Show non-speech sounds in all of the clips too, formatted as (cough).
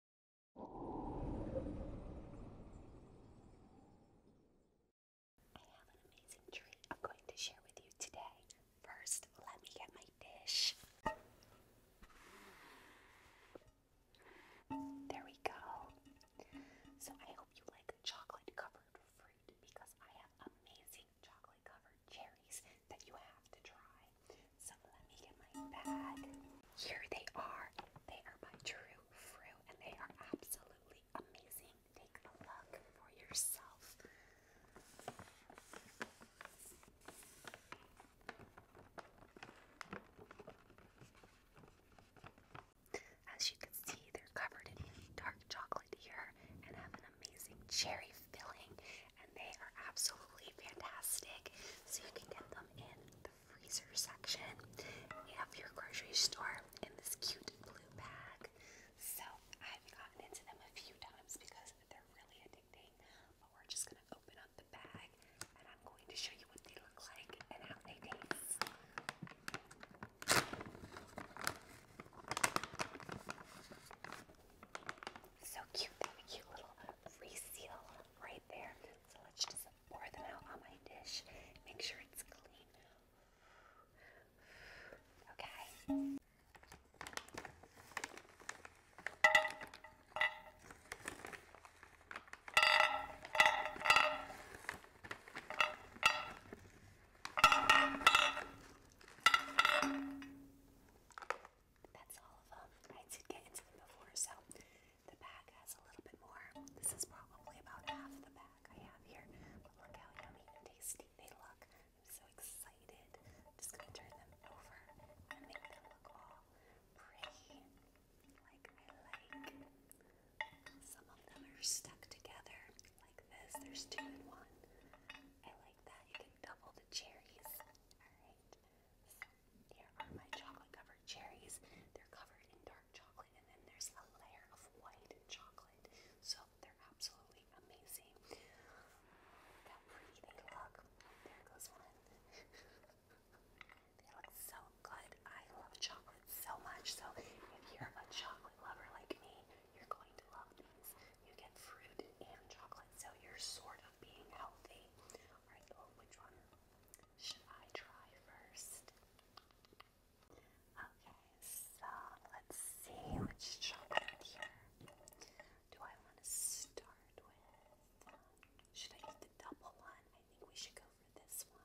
I have an amazing treat I'm going to share with you today. First, let me get my dish. There we go. So, I hope you like chocolate covered fruit because I have amazing chocolate covered cherries that you have to try. So let me get my bag. Here they are. They are by True Fruit and they are absolutely amazing. Take a look for yourself. As you can see, they're covered in dark chocolate here and have an amazing cherry filling, and they are absolutely fantastic. So you can get them in freezer section. of your grocery store in this cute blue bag. So I've gotten into them a few times because they're really addicting. But we're just gonna open up the bag and I'm going to show you what they look like and how they taste. So cute, they have cute little reseal right there. So let's just pour them out on my dish. Make sure it's clean. Okay. That's all of them. I did get into them before, so the bag has a little bit more. This is probably about half the bag I have here. But look how yummy and tasty they look. I'm so excited. just gonna turn them over and make them look all pretty. Like I like. Some of them are stuck together like this. There's two in one. I like that. You can double the cherries. Alright. Here are my chocolate covered cherries. They're covered in dark chocolate, and then there's a layer of white chocolate. So they're absolutely amazing. Look how pretty they look. There goes one. (laughs) they look so good. I love chocolate so much. So if you're a chocolate lover like me, you're going to love these. You get fruit and chocolate, so you're sort of being healthy. Alright, oh, which one? Should I try first? Okay, so let's see which chocolate here do I want to start with. Should I eat the double one? I think we should go for this one.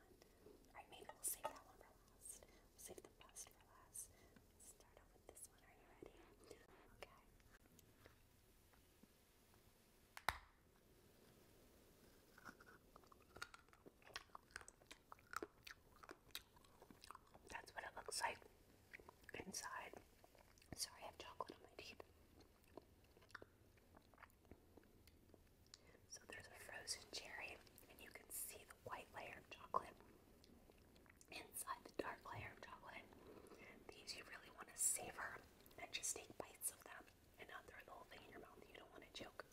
Or maybe we'll save that one for last. save the best for last. start off with this one. Are you ready? Okay. That's what it looks like inside. Sorry, I have chocolate on my teeth. So there's a frozen cherry, and you can see the white layer of chocolate inside the dark layer of chocolate. These you really want to savor and just take bites of them and not throw the whole thing in your mouth. You don't want to choke.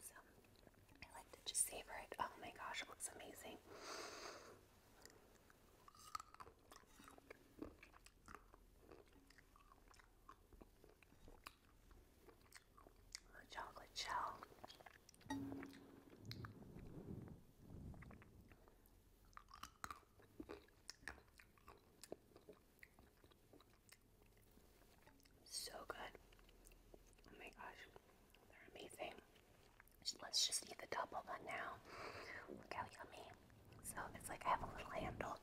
So I like to just savor it. Oh my gosh, it looks amazing. chocolate shell. So good. Oh my gosh, they're amazing. Let's just eat the double one now. Look how yummy. So it's like I have a little handle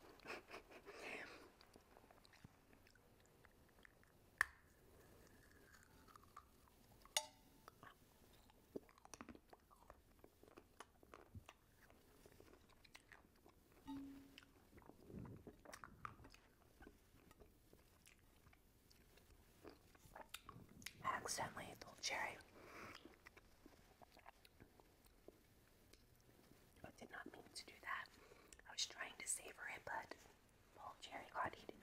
accidentally ate the cherry. I did not mean to do that. I was trying to savor it, but whole cherry got eaten.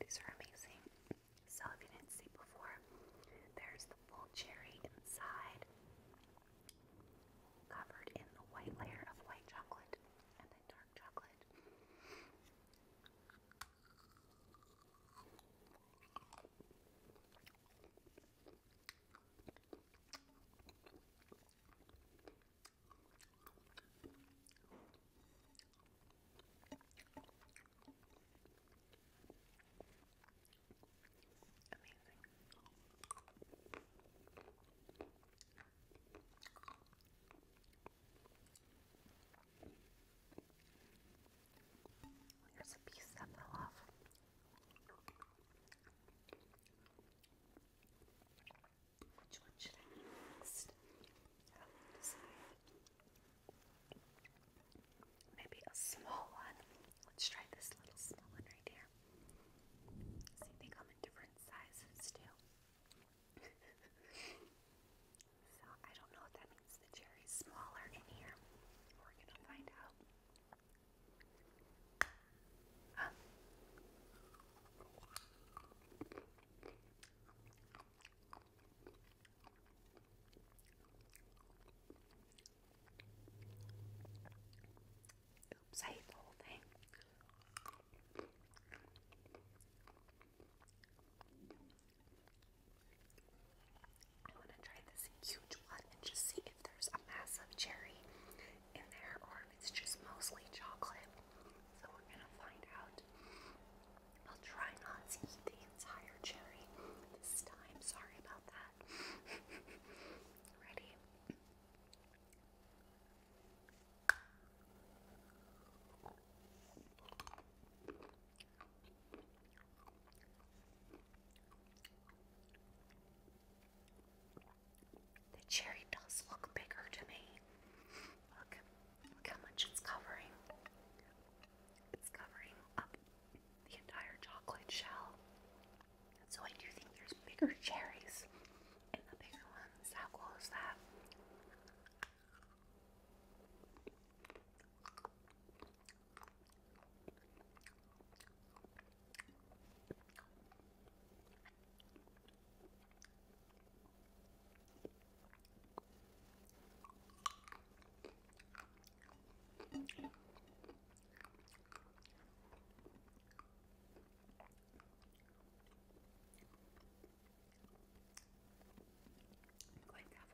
These are amazing. So, if you didn't see before, there's the full cherry inside, covered in the white layer of white chocolate and then dark chocolate. Amazing. Here's a piece that fell off. Which one should I eat next? Maybe a small one. Let's try this little small one right here. See, they come in different sizes too. (laughs) so I don't know if that means the cherry's smaller in here. We're gonna find out. Huh? Oops, I ate the I want to try this huge one and just see if there's a massive cherry in there or if it's just mostly chocolate. So we're going to find out. I'll try not to eat the entire cherry this time. Sorry about that. (laughs) Ready? The cherry does look bigger to me. Look, look how much it's covering. It's covering up the entire chocolate shell. So I do think there's bigger cherries in the bigger ones. How cool is that? I'm going to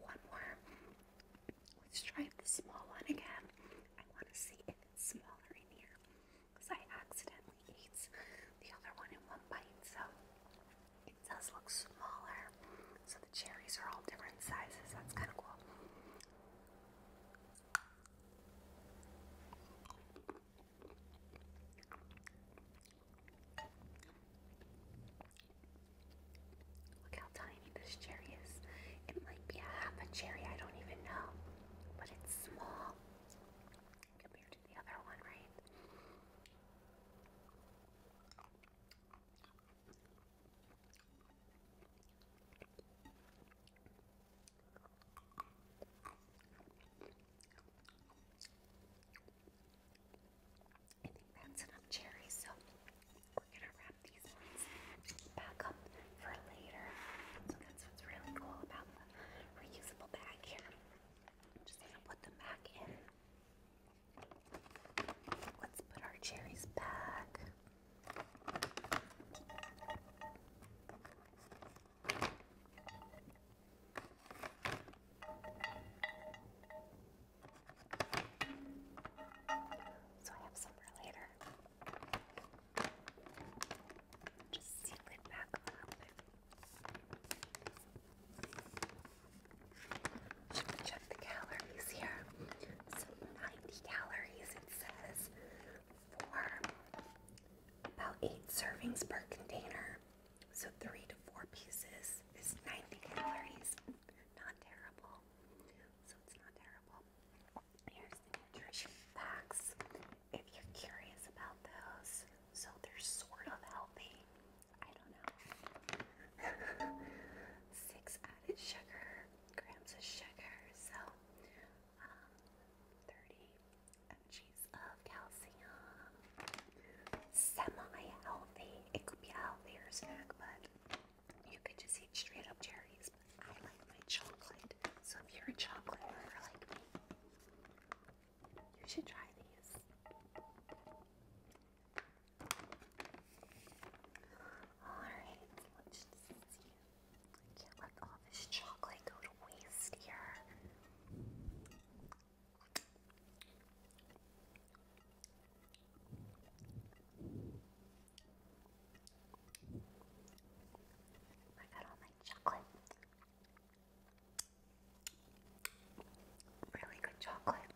have one more. Let's try the small one again. I want to see smaller in here because I accidentally ate the other one in one bite, so it does look smaller. So the cherries are all different sizes, that's kind of cool. Look how tiny this cherry is. It might be a half a cherry, I don't even know. But it's small compared to the other one, right? I cherries, so we're gonna wrap these ones back up for later. So that's what's really cool about the reusable bag here. just gonna put them back in. Let's put our cherries back. So I have some for later. Just seal it back a little bit. Should we check the calories here? So 90 calories it says for about 8 servings per container. So 3 to 4 pieces is 90 calories. Not terrible. So it's not terrible here's the nutrition facts if you're curious about those. So they're sort of healthy. I don't know. (laughs) Six added sugar, grams of sugar, so um, 30 mg's of calcium. Semi healthy. It could be a healthier snack, but you could just eat straight up cherries, but I like my chocolate. So if you're a chocolate lover like me, you should try these. Alright, let's just see. can't let all this chocolate go to waste here. I got all my chocolate. Really good chocolate.